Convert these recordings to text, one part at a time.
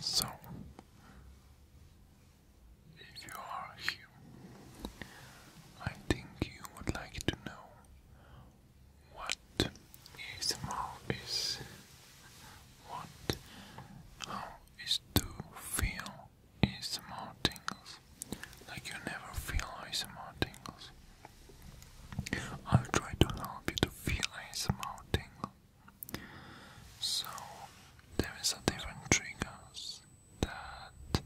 So, if you are here, I think you would like to know what ASMR is, what, how is to feel ASMR tingles, like you never feel ASMR tingles. I'll try to help you to feel ASMR tingle. So, there is a different triggers that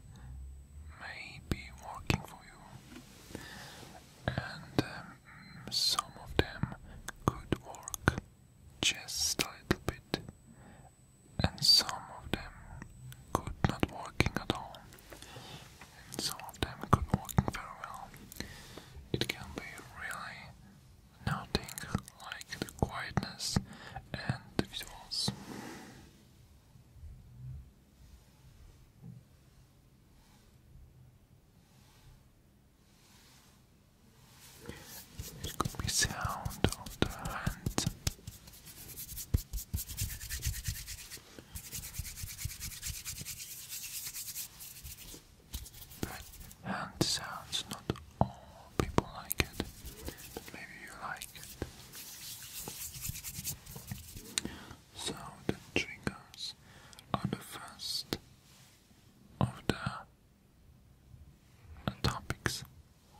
may be working for you, and um, some of them could work just a little bit, and some of them could not working at all. So after a good walking very well, it can be really nothing like the quietness and the visuals. It could be sound of the hand. But hand sounds, not all people like it, maybe you like it. So the triggers are the first of the topics,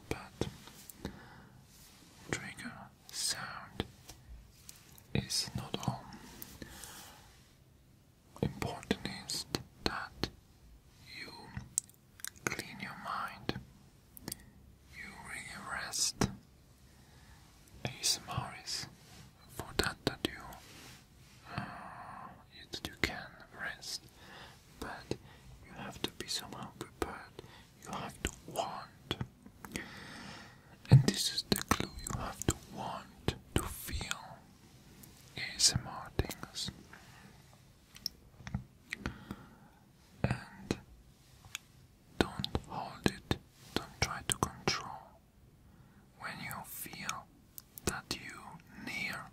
but trigger sound is not all. Important is that you clean your mind, you really rest. ASMR is for that that you uh, that you can rest, but you have to be somehow prepared. You have to want and this is the clue you have to want to feel ASMR things. And don't hold it, don't try to control. When you feel that you near,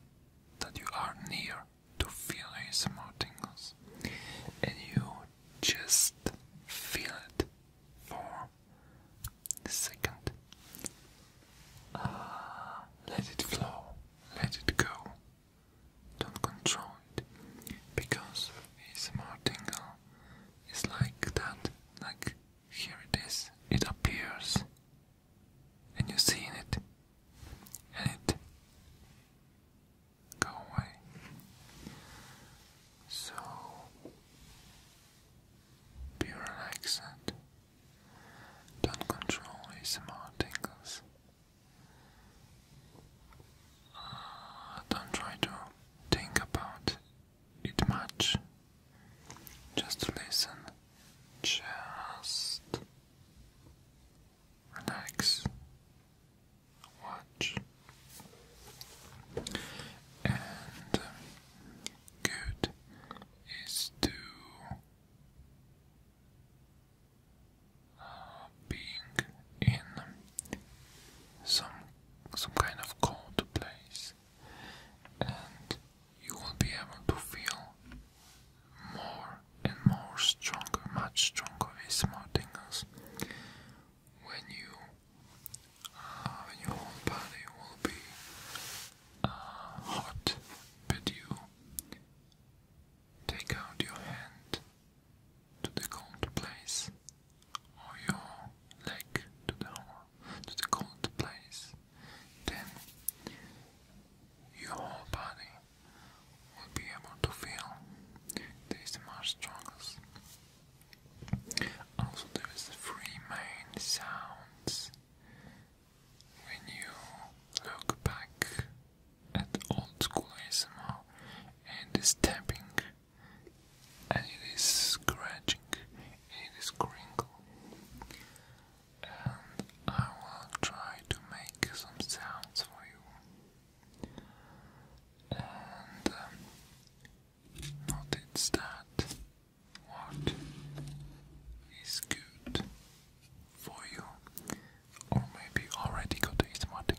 that you are near to feel ASMR tingles, and you just feel it for Second, ah, let it flow, let it go. Don't control it because it's ASMR tingle It's like that. Like here it is, it appears, and you see it, and it go away so be relaxed. Don't control ASMR tingles. Uh, don't try to think about it much. Just listen. Just relax watch and good is to uh, being in some some kind of cold place and you will be able to feel more and more stronger, much stronger with more tingles when you uh, when your whole body will be uh, hot, but you take out your hand to the cold place or your leg to the to the cold place, then your whole body will be able to feel these much strongest. Also, there is three main sounds when you look back at old school and it is tapping, and it is scratching, and it is crinkle, and I will try to make some sounds for you. Um, not instead what is good for you, or maybe already go to ASMR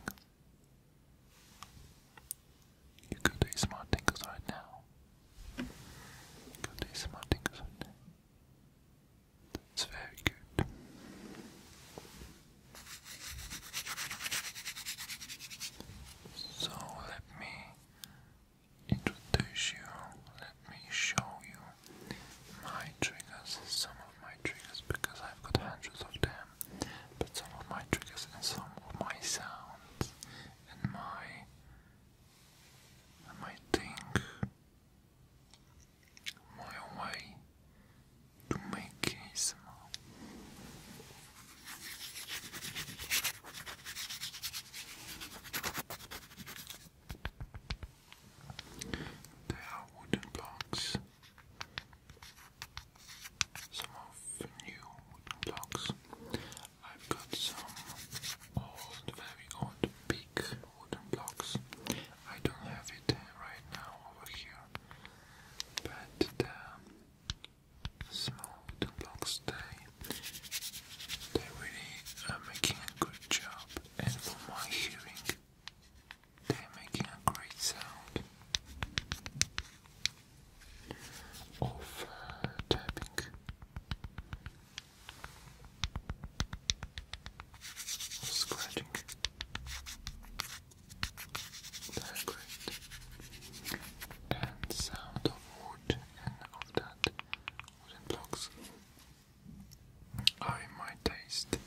You go to ASMR right now. You go to right now. That's very good. So let me introduce you, let me show you my triggers, some of my triggers because I've got hundreds of them, but some of my triggers and some of my sounds and my my thing my way do my case more. They are wooden blocks. Some of new wooden blocks. I've got some old, very old, big wooden blocks. I don't have it right now over here, but the um, so the blocks they they really are making a good job and for my hearing they're making a great sound of uh, Scratching decorate and sound of wood and of that wooden blocks are in taste.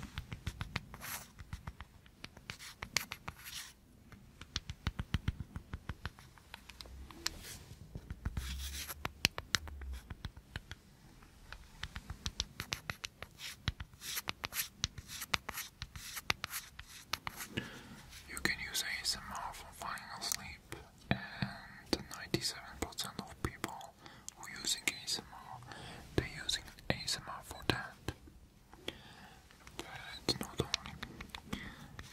You can use ASMR for falling asleep, and 97% of people who are using ASMR, they're using ASMR for that. But not only,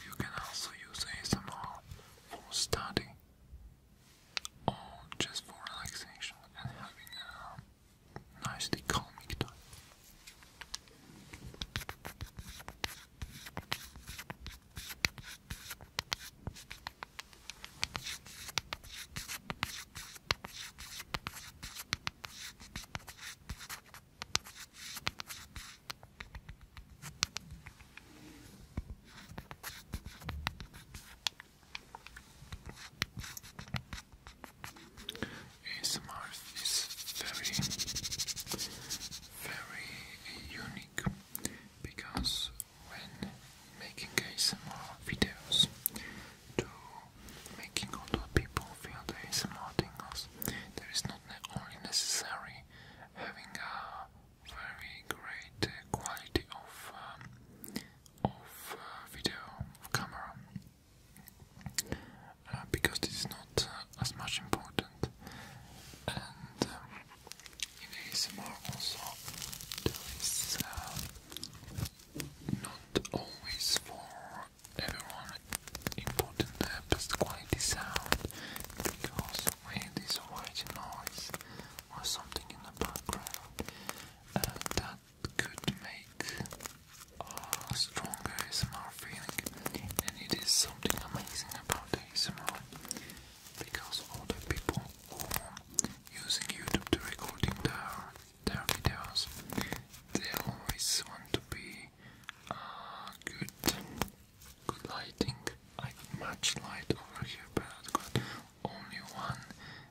you can also use ASMR for study or just for relaxation and having a nicely comic type. ASMR is very, very unique because when making ASMR videos to making other people feel the ASMR tingles, there is not only necessary having a very great quality of um, of uh, video camera uh, because this is not uh, as much important. And um, in also uh, not always for everyone important uh, best quality sound because when white noise or something in the background uh, that could make a stronger ASMR feeling, and it is something amazing about ASMR because all the people who using YouTube to recording their their videos, they always want to be good, good lighting. I much light over here, but only one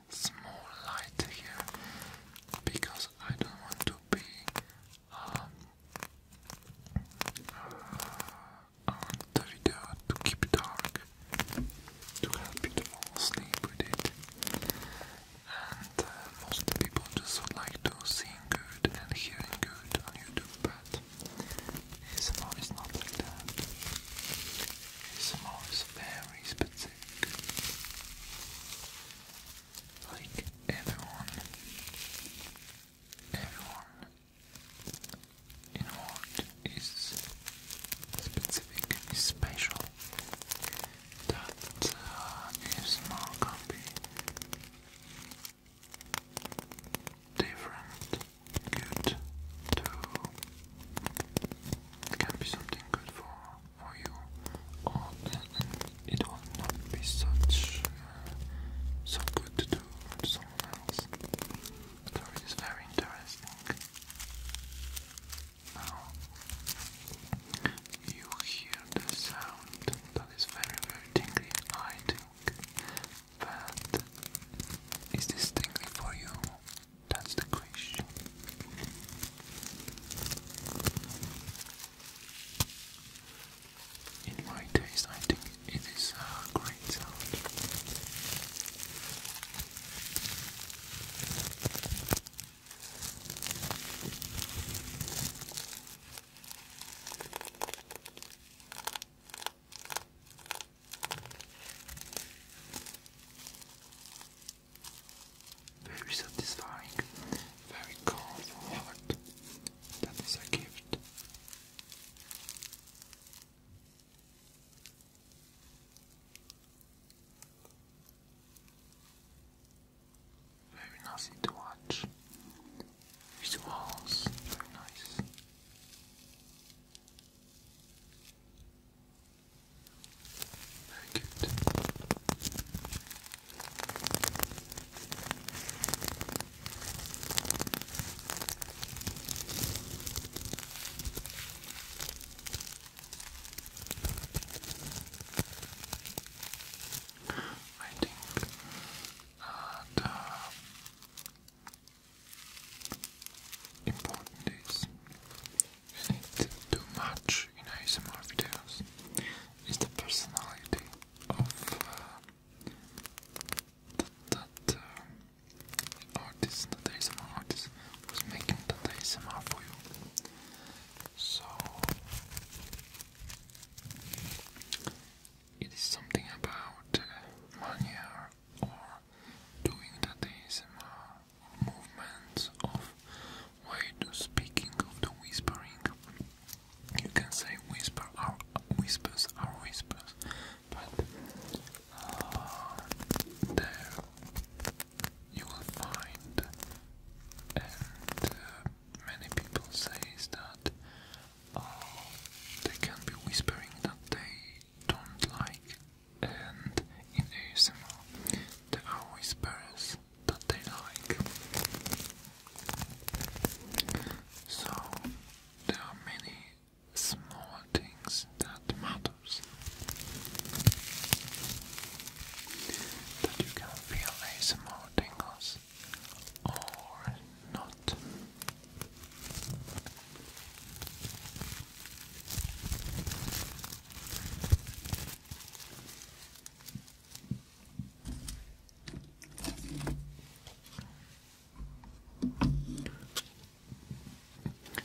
small light here because I don't want to be on um, uh, the video to keep dark to help you to fall asleep with it and uh, most people just would like to seeing good and hearing good on YouTube but ASMR is not like that ASMR is very specific like everyone, everyone involved is specific, is special. That uh, is more be different, good to. It can be something good for for you all, it will not be such uh, so good to do to someone else. So it is very interesting. Now you hear the sound that is very very tingly, I think. But is this for you? That's the question. In my taste, I think it is uh, great very satisfying, very calm heart. That is a gift. Very noisy to watch. Visuals, very nice. Very good. I think that important is too much in ASMR videos is the personality of uh, uh artist, that ASMR artist was making that ASMR for you. So it is something about uh, money or doing that ASMR movements of way to speaking of the whispering. You can say whisper are whispers are whispers, but uh, there you will find, and uh, many people says that uh, they can be whispering that they don't like and in ASMR there are whispers that they like. So there are many small things that matters that you can feel as small tingles or not.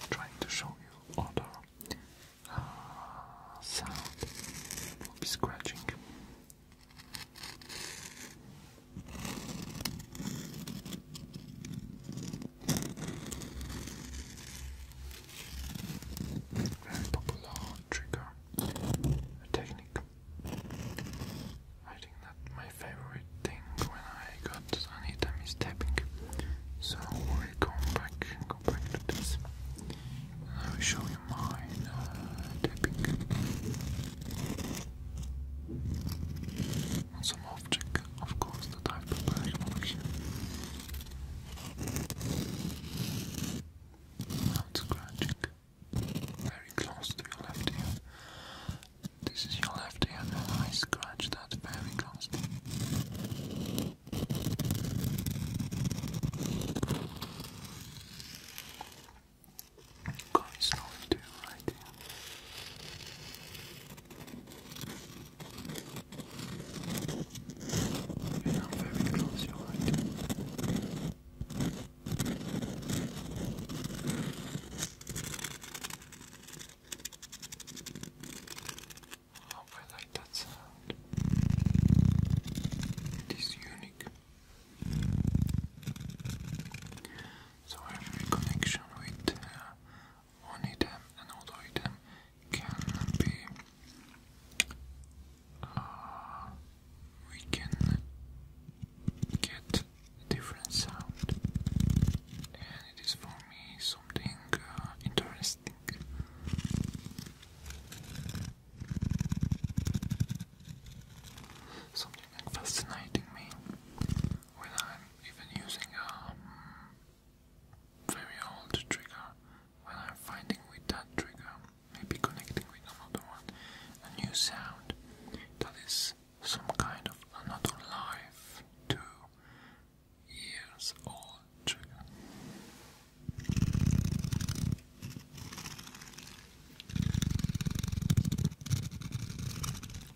Trying to show you other uh, sound will be scratching. Very popular trigger, technique. I think that my favorite thing when I got an item is tapping. So we'll go back, go back to this. I will show you mine uh, tapping on some object of course, the type of prepared for I'm scratching very close to your left ear. This is your left ear, I scratch that very close. Going slowly to right ear. And now very I like that sound. It is unique. So every connection with uh, one item and other item can be uh, we can get different sound and it is for me something uh, interesting something fascinating me when I'm even using a um, very old trigger when I'm finding with that trigger, maybe connecting with another one, a new sound that is some kind of another life to years old trigger.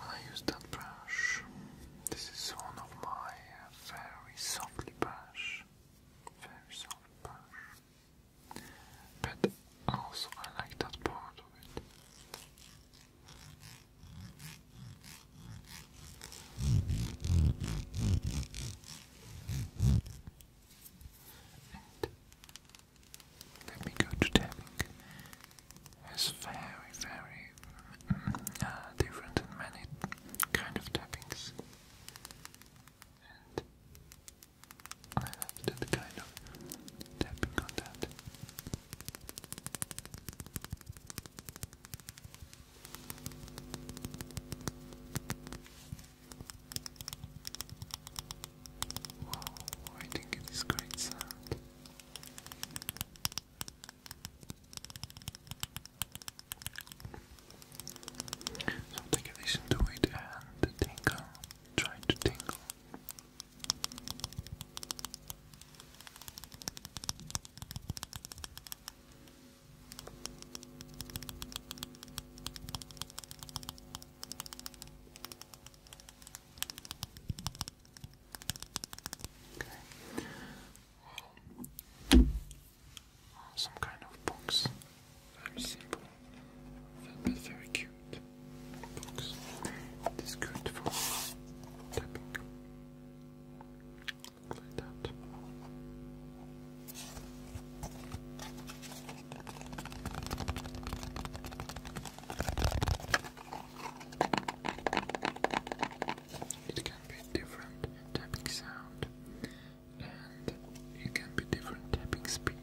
I use that brush. This is one of my very softly brush. Very soft brush. But also I like that part of it. let me go to tapping is very, very mm, uh, different in many kind of tappings. I like that kind of tapping on that. Wow, I think it is great sound. So take a listen to it and try to tingle. Okay. some kind of box. Very simple, but very cute box. It is good for tapping. Like that. It can be different tapping sound and it can be different tapping speed.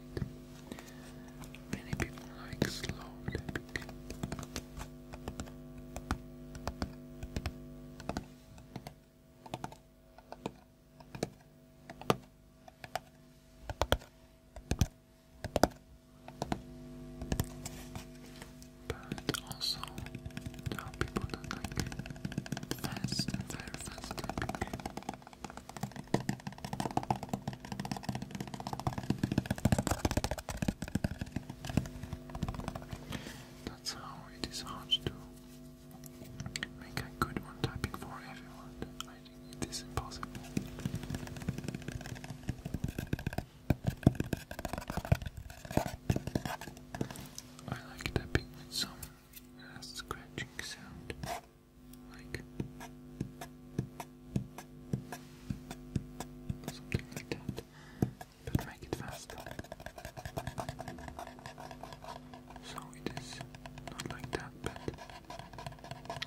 Many people like slow tapping. But also, now people don't like fast, very fast That's how it is hard to make a good one typing for everyone. I think it is I like tapping with some uh, scratching sound, like something like that, but make it faster. So it is not like that, but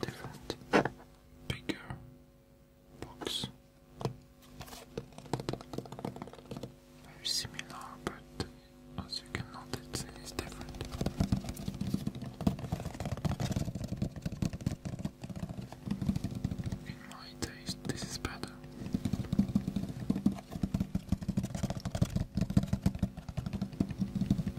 different bigger box. Very similar, but as you can notice, it is different. In my taste, this is better.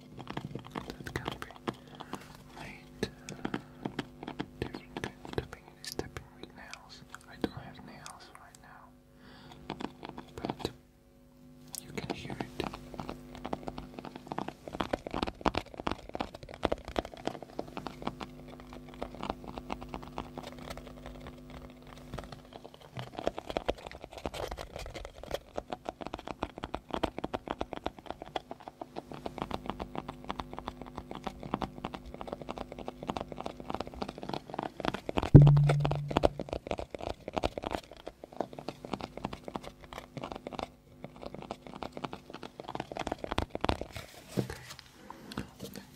that can be made tapping is tapping with nails. I don't have nails right now, but you can hear it. I'd like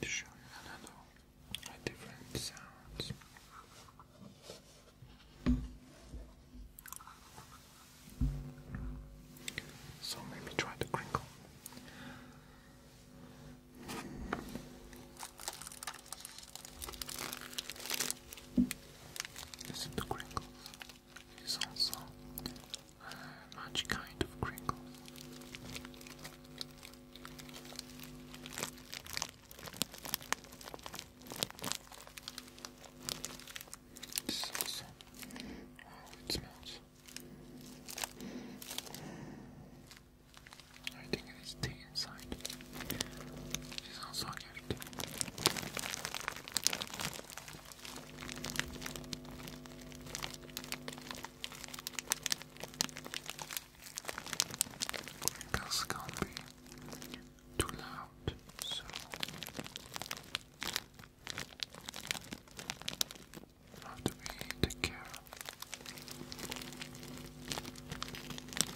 to show you another different sounds. So maybe try to crinkle. Is it the crinkle? It's also uh, much kind of crinkle it smells. I think it is tea inside. It's also a gift. This can't be too loud, so how do we take care? Okay, and a different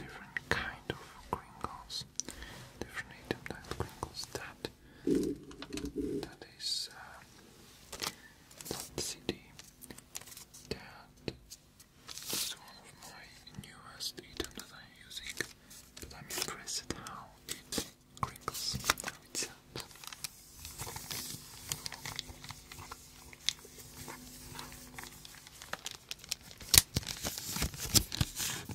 kind of crinkles, different item that crinkles that that is uh, that city that is one of my newest item that I'm using but I'm impressed how it crinkles how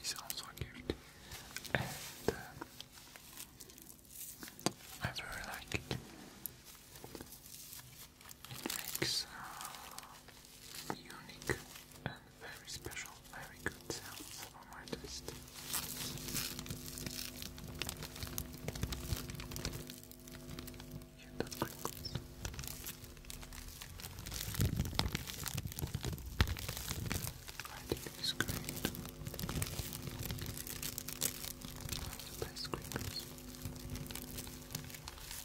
It's also a gift, and I very like it. Uh, it makes a unique and very special, very good sounds for my taste. Hear the crinkles. great. One of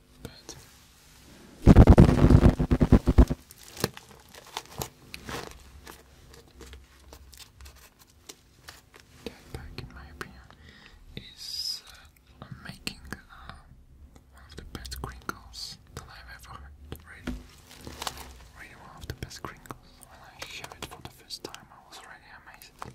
but Jetpack, in my opinion, is uh, making uh, one of the best crinkles that I've ever heard. Really, really one of the best crinkles. When I heard it for the first time, I was really amazed.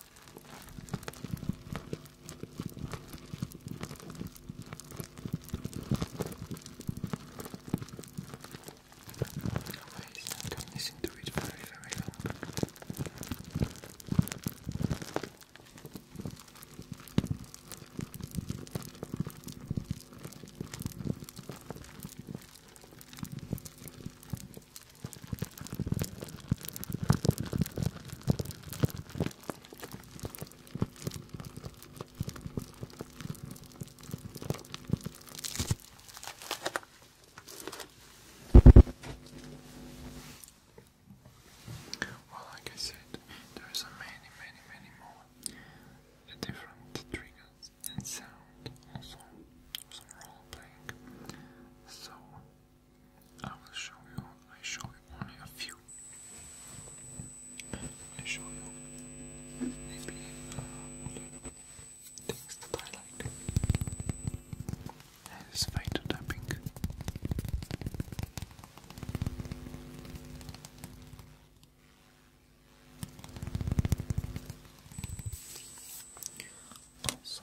Amazing, I can listen to it very, very long. Well, like I said, there's many, many, many more different triggers and sound also some role playing. So I will show you, I show you only a few. I show you maybe uh, things that I like. That is tapping. Also,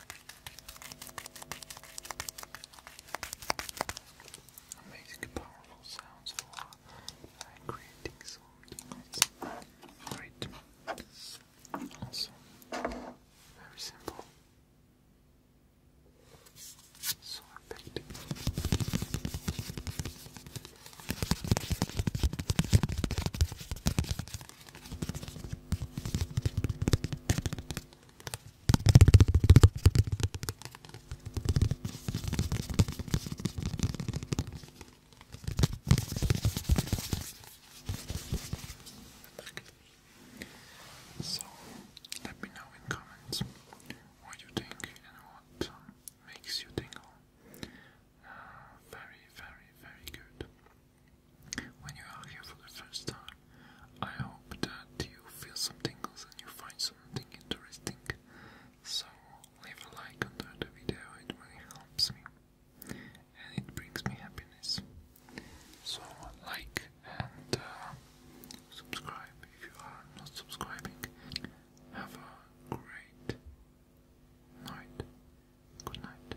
Amazing powerful sounds for uh, creating Great. Also, very simple. So effective. So, let me know in comments what you think and what um, makes you tingle. Uh, very, very, very good. When you are here for the first time, I hope that you feel some tingles and you find something interesting. So leave a like under the video, it really helps me and it brings me happiness. So like and uh, subscribe if you are not subscribing. Have a great night. Good night.